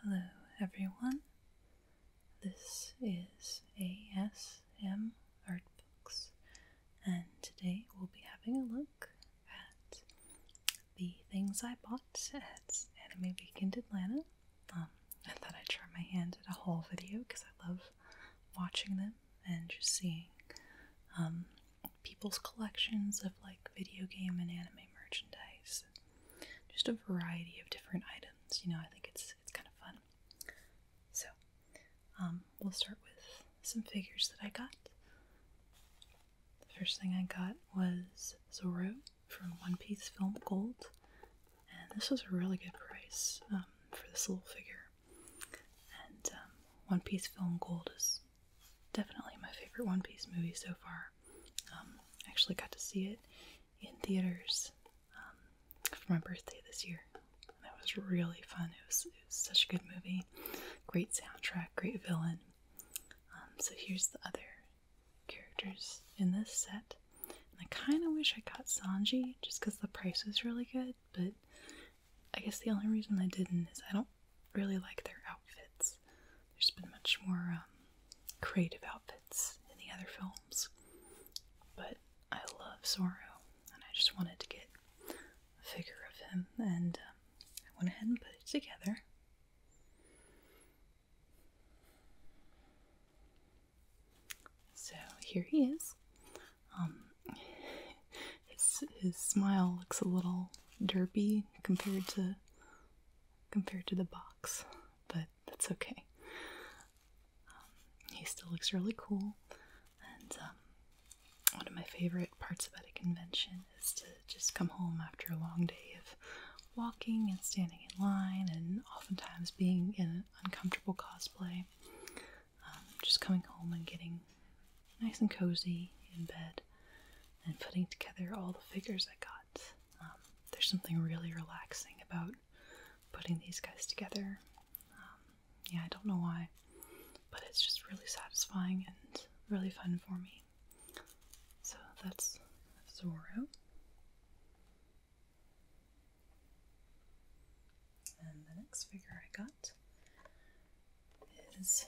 Hello, everyone. This is ASM Artbooks, and today we'll be having a look at the things I bought at Anime Weekend Atlanta. Um, I thought I'd try my hand at a haul video because I love watching them and just seeing um, people's collections of like video game and anime merchandise, just a variety of different items. You know, I think it's it's kind of fun. So, um, we'll start with some figures that I got. The first thing I got was Zoro from One Piece Film Gold, and this was a really good price um, for this little figure. And um, One Piece Film Gold is definitely my favorite One Piece movie so far. Um, actually got to see it in theaters um, for my birthday this year. that was really fun. It was, such a good movie. Great soundtrack, great villain. Um, so here's the other characters in this set. I kind of wish I got Sanji just because the price was really good, but I guess the only reason I didn't is I don't really like their outfits. There's been much more um, creative outfits in the other films. But I love Zorro, and I just wanted to get a figure of him, and um, I went ahead and put it together. So here he is. Um, his his smile looks a little derpy compared to compared to the box, but that's okay. Um, he still looks really cool, and um, one of my favorite parts about a convention is to just come home after a long day of walking and standing in line, and oftentimes being in an uncomfortable cosplay. Um, just coming home and getting nice and cozy in bed and putting together all the figures I got. Um, there's something really relaxing about putting these guys together. Um, yeah, I don't know why, but it's just really satisfying and really fun for me. So that's Zoro. And the next figure I got is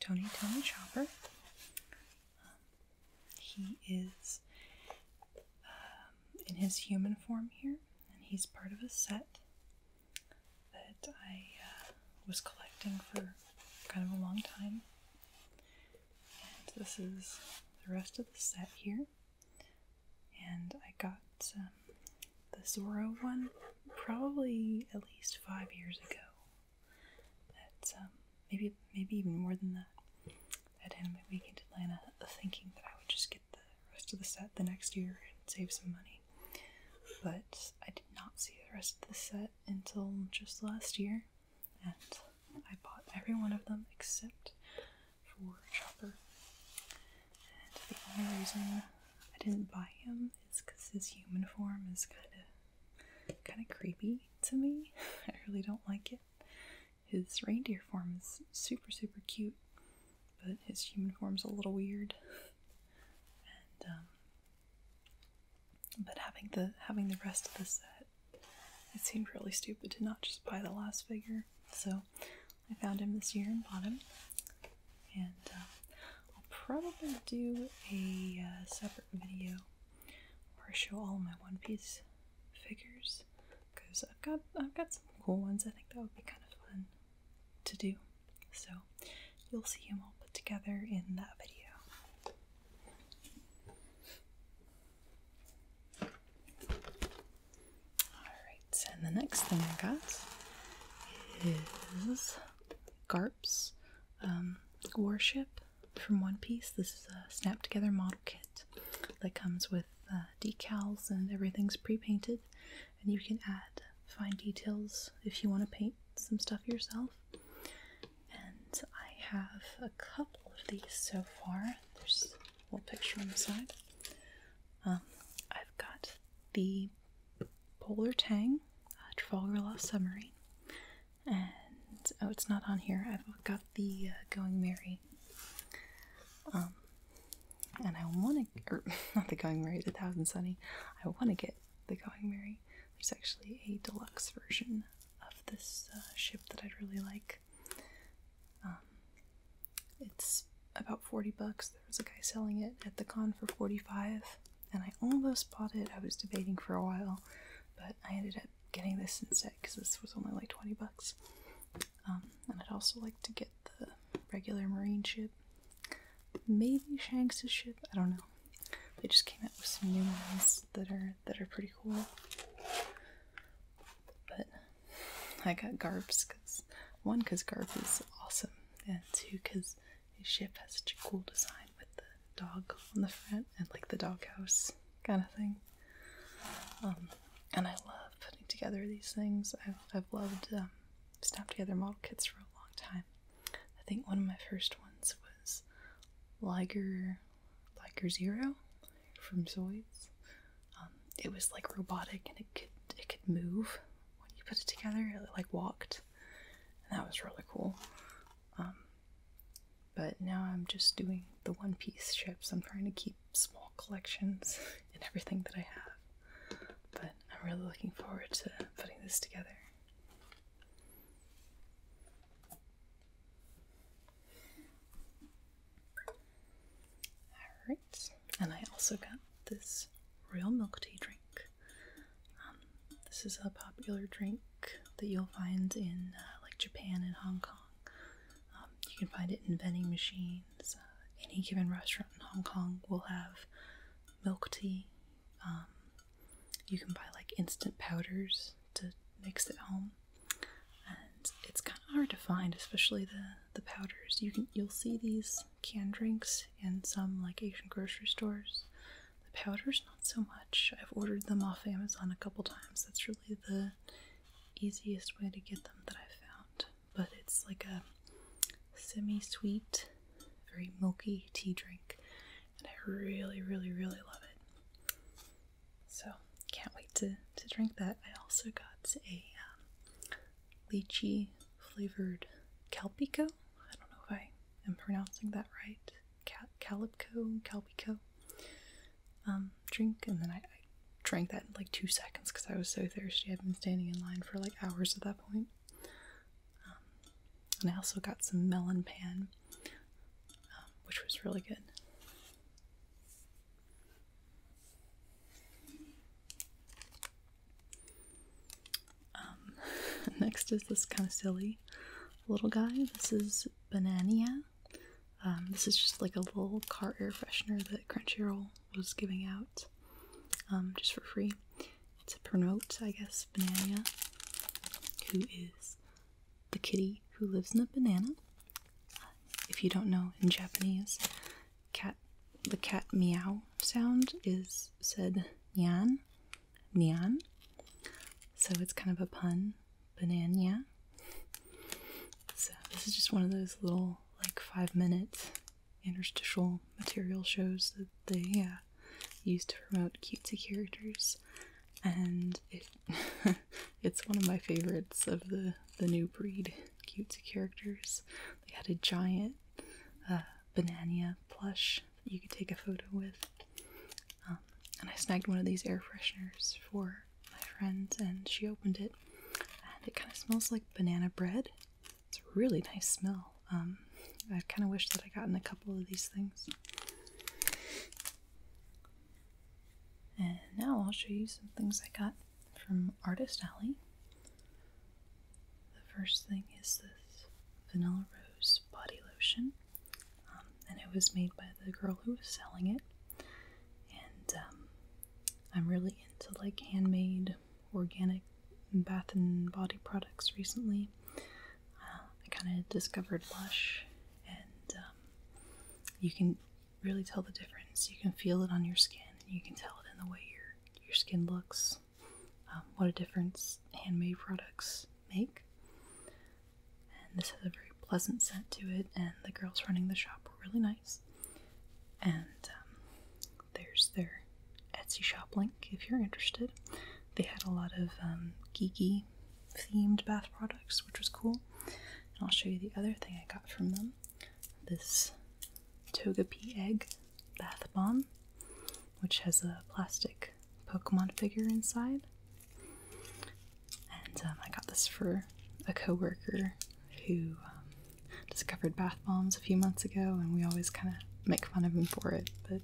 Tony Tony Chopper. Um, he is um, in his human form here, and he's part of a set that I uh, was collecting for kind of a long time. And this is the rest of the set here. And I got the Zorro one, probably at least five years ago. That um, maybe maybe even more than that. At Anime Week in Atlanta, thinking that I would just get the rest of the set the next year and save some money. But I did not see the rest of the set until just last year, and I bought every one of them except for Chopper the only reason I didn't buy him is because his human form is kind of kind of creepy to me. I really don't like it. His reindeer form is super super cute, but his human form's a little weird. And um, but having the having the rest of the set, it seemed really stupid to not just buy the last figure. So I found him this year and bought him. And I'll probably do a uh, separate video where I show all my One Piece figures because I've got I've got some cool ones. I think that would be kind of fun to do. So you'll see them all put together in that video. Alright, and the next thing I got is Garp's um, Warship from One Piece. This is a snap together model kit that comes with uh, decals and everything's pre painted, and you can add fine details if you want to paint some stuff yourself. And I have a couple of these so far. There's a little picture on the side. Um, I've got the Polar Tang, uh, Trafalgar Law Submarine. And oh, it's not on here. I've got the uh, Going Merry. Um, and I want to, or not the Going Merry, the Thousand Sunny. I want to get the Going Merry. There's actually a deluxe version of this uh, ship that I'd really like. Um, it's about 40 bucks. There was a guy selling it at the con for 45 and I almost bought it. I was debating for a while, but I ended up getting this instead because this was only like 20 bucks. Um, and I'd also like to get the regular marine ship. Maybe Shanks's ship, I don't know. They just came out with some new ones that are that are pretty cool. But I got Garb's one, because Garp is awesome, and two, because his ship has such a cool design with the dog on the front and like the doghouse kind of thing. Um, and I love putting together these things. I've, I've loved um, snap together model kits for a long time. I think one of my first ones was Liger, Liger Zero from Zoids. Um, it was like robotic and it could it could move when you put it together, it like walked. And that was really cool. Um, but now I'm just doing the one piece ships. I'm trying to keep small collections in everything that I have. But I'm really looking forward to putting this together. Alright and I also got this real milk tea drink. Um, this is a popular drink that you'll find in uh, like Japan and Hong Kong. Um, you can find it in vending machines. Uh, any given restaurant in Hong Kong will have milk tea. Um, you can buy like instant powders to mix at home, and it's kind of hard to find, especially the the powders. You can you'll see these canned drinks in some like Asian grocery stores. The powders, not so much. I've ordered them off Amazon a couple times. That's really the easiest way to get them that I've found. But it's like a semi sweet, very milky tea drink, and I really, really, really love it. So, can't wait to, to drink that. I also got a um, lychee flavored calpico. I don't know if I am pronouncing that right. Cal calpico. Um, drink, and then I, drank that in like two seconds because I was so thirsty. I'd been standing in line for like hours at that point. Um, and I also got some melon pan, um, which was really good. Um, next is this kind of silly little guy. This is Banania. Um, this is just like a little car air freshener that Crunchyroll was giving out um, just for free It's a promote, I guess, Banania, who is the kitty who lives in a banana. If you don't know, in Japanese, cat the cat meow sound is said nyan nyan so it's kind of a pun banana so this is just one of those little like five minute interstitial material shows that they uh, use to promote cutesy characters and it it's one of my favorites of the the new breed cutesy characters they had a giant a banana plush that you could take a photo with. Um, and I snagged one of these air fresheners for my friend, and she opened it, and it kind of smells like banana bread. It's a really nice smell. Um, I kind of wish that I gotten a couple of these things. And now I'll show you some things I got from Artist Alley. The first thing is this Vanilla Rose body lotion, um, and it was made by the girl who was selling it. And um, I'm really into like handmade organic bath and body products recently. Uh, I kind of discovered Lush, and um, you can really tell the difference. You can feel it on your skin, you can tell it in the way you're your skin looks, um, what a difference handmade products make. And this has a very pleasant scent to it, and the girls running the shop were really nice. And um, there's their Etsy shop link if you're interested. They had a lot of um, geeky themed bath products, which was cool. And I'll show you the other thing I got from them this Togepi egg bath bomb, which has a plastic Pokemon figure inside. And um, I got this for a coworker who um, discovered bath bombs a few months ago, and we always kind of make fun of him for it. But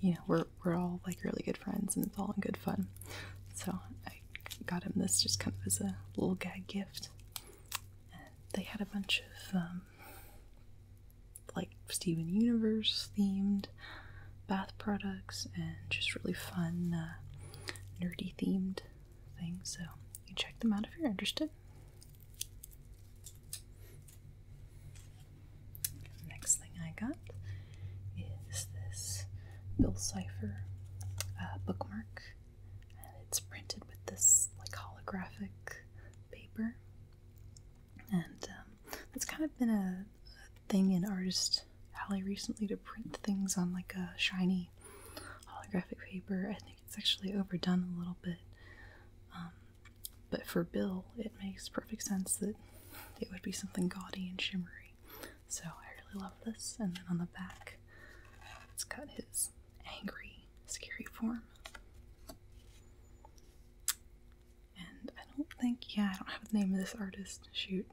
you know, we're we're all like really good friends, and it's all in good fun. So I got him this just kind of as a little gag gift they had a bunch of um, like Steven Universe themed bath products and just really fun, uh, nerdy themed things. So you check them out if you're interested. next thing I got is this Bill Cipher uh, bookmark and it's printed with this like holographic paper and um, that's kind of been a, thing in artist alley recently to print things on like a shiny holographic paper i think it's actually overdone a little bit um, but for bill it makes perfect sense that it would be something gaudy and shimmery so i really love this and then on the back it's got his angry, scary form. And I don't think, yeah, I don't have the name of this artist. Shoot.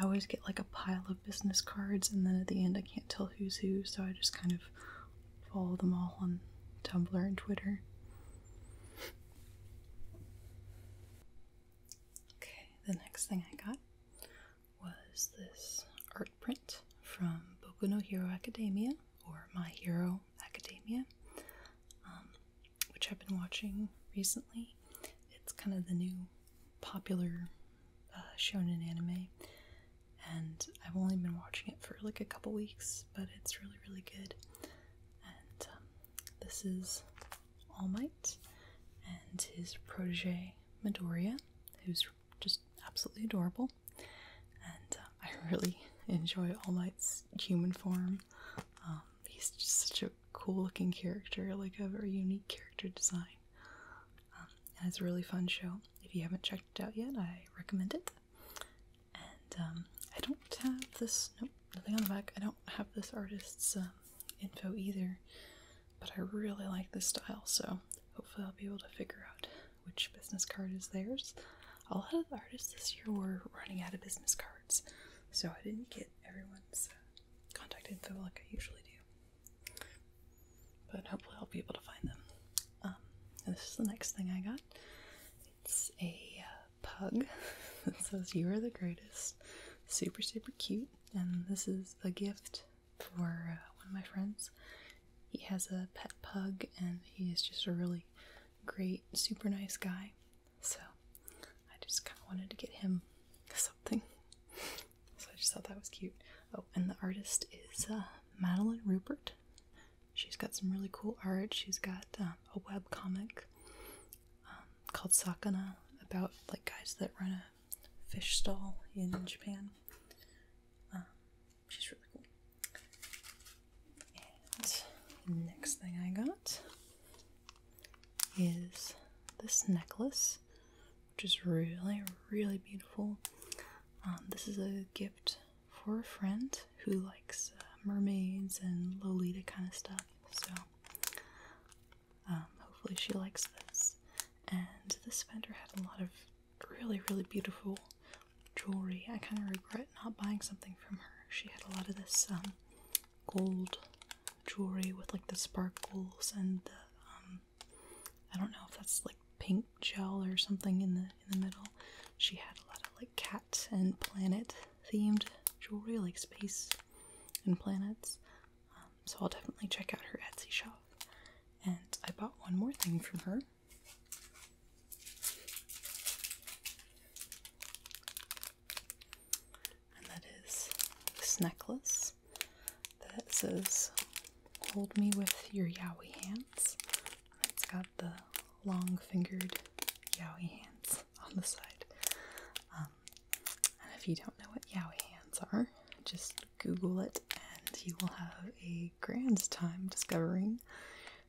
I always get like a pile of business cards, and then at the end I can't tell who's who, so I just kind of follow them all on Tumblr and Twitter. Okay, the next thing I got was this art print from Boku no Hero Academia or My Hero Academia, um, which I've been watching recently. It's kind of the new popular uh, shonen anime, and I've only been watching it for like a couple weeks, but it's really, really good. And um, this is All Might and his protege Midoriya, who's just absolutely adorable. And uh, I really enjoy All Might's human form. Um, he's just such a cool looking character, like a very unique character design. Um, and it's a really fun show. If you haven't checked it out yet, I recommend it. And um, I don't have this, nope, nothing on the back. I don't have this artist's info either but I really like this style, so hopefully I'll be able to figure out which business card is theirs. A lot of artists this year were running out of business cards, so I didn't get everyone's uh, contact info like I usually do. But hopefully I'll be able to find them. Um, this is the next thing I got. It's a uh, pug that says, You are the greatest. Super, super cute. And this is a gift for uh, one of my friends. He has a pet pug and he is just a really great, super nice guy. So I just kind of wanted to get him something. So I just thought that was cute. Oh, and the artist is uh, Madeline Rupert. She's got some really cool art. She's got um, a web comic um, called Sakana about like guys that run a fish stall in Japan. Um, she's really cool. And next thing I got is this necklace, which is really, really beautiful. Um, this is a gift for a friend who likes uh, mermaids and Lolita kind of stuff. So, um, hopefully, she likes this and this vendor had a lot of really, really beautiful jewelry. I kind of regret not buying something from her. She had a lot of this um, gold jewelry with like the sparkles and the um, I don't know if that's like pink gel or something in the in the middle. She had a lot of like cat and planet themed jewelry, like space and planets so I'll definitely check out her Etsy shop. And I bought one more thing from her. And that is this necklace that says, Hold me with your yaoi hands. it's got the long fingered yaoi hands on the side. Um, and if you don't know what yaoi hands are, just Google it, and you will have a grand time discovering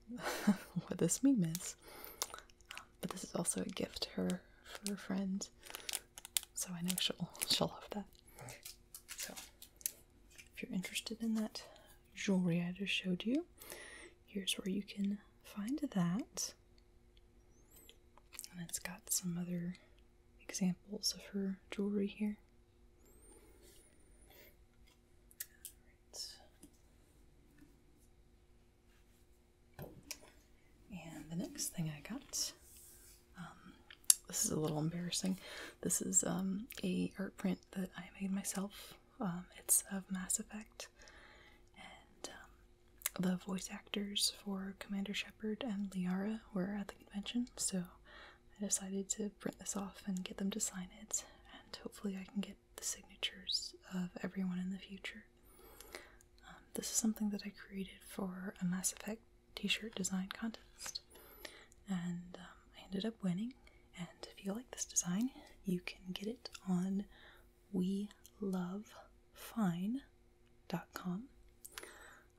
what this meme is. but this is also a gift to her for a friend, so I know she'll she'll love that. So, if you're interested in that jewelry I just showed you, here's where you can find that. And it's got some other examples of her jewelry here. And the next thing I got, um, this is a little embarrassing. This is um, a art print that I made myself. Um, it's of Mass Effect, and the voice actors for Commander Shepard and Liara were at the convention, so I decided to print this off and get them to sign it, and hopefully, I can get the signatures of everyone in the future. Um, this is something that I created for a Mass Effect t shirt design contest, and um, I ended up winning. And if you like this design, you can get it on we love fine.com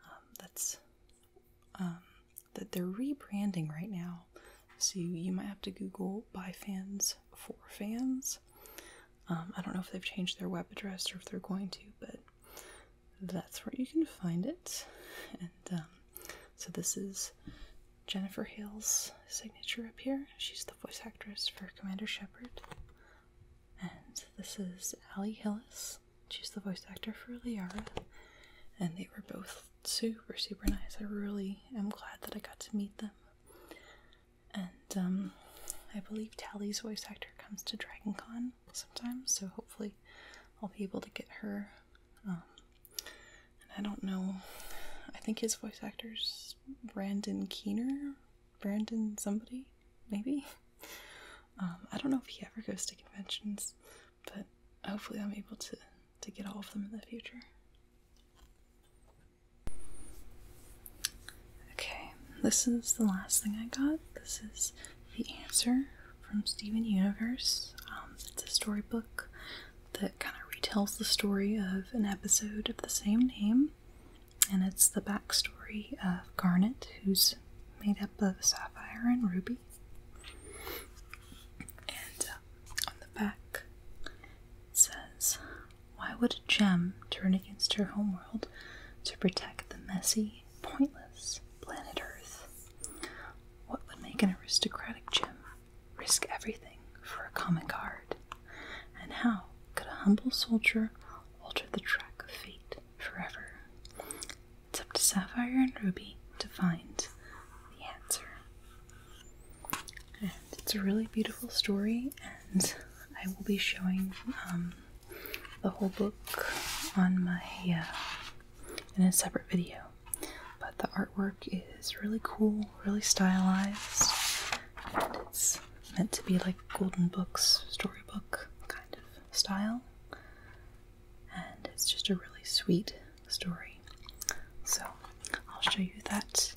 um, that's um, that they're rebranding right now. So you, might have to Google "Buy fans for fans. Um, I don't know if they've changed their web address or if they're going to, but that's where you can find it. And so this is Jennifer Hale's signature up here. She's the voice actress for Commander Shepard. And this is Allie Hillis. She's the voice actor for Liara, and they were both super, super nice. I really am glad that I got to meet them. And um, I believe Tally's voice actor comes to Dragon Con sometimes, so hopefully I'll be able to get her. Um, and I don't know, I think his voice actor's Brandon Keener? Brandon somebody? Maybe? Um, I don't know if he ever goes to conventions, but hopefully I'm able to to get all of them in the future. Okay, this is the last thing I got. This is The Answer from Steven Universe. Um, it's a storybook that kind of retells the story of an episode of the same name, and it's the backstory of Garnet, who's made up of sapphire and ruby. And uh, on the back says, Why would a gem turn against her homeworld to protect the messy, pointless planet Earth? What would make an aristocratic gem risk everything for a common guard? And how could a humble soldier alter the track of fate? forever. It's up to Sapphire and Ruby to find the answer. And it's a really beautiful story, and I will be showing um, the whole book on my uh, in a separate video. But the artwork is really cool, really stylized, and it's meant to be like golden books storybook kind of style, and it's just a really sweet story. So, I'll show you that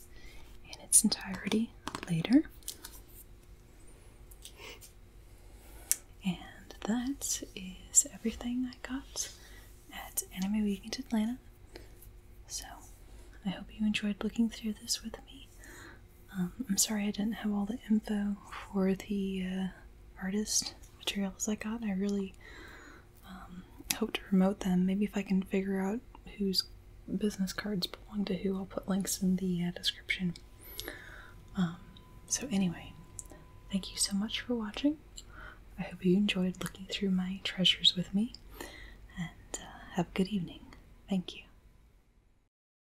in its entirety later. And that is everything I got at Anime Weekend Atlanta. So, I hope you enjoyed looking through this with me. Um, I'm sorry I didn't have all the info for the uh, artist materials I got. I really um, hope to promote them. Maybe if I can figure out whose business cards belong to who, I'll put links in the uh, description. Um, so, anyway, thank you so much for watching. I hope you enjoyed looking through my treasures with me, and uh, have a good evening. Thank you.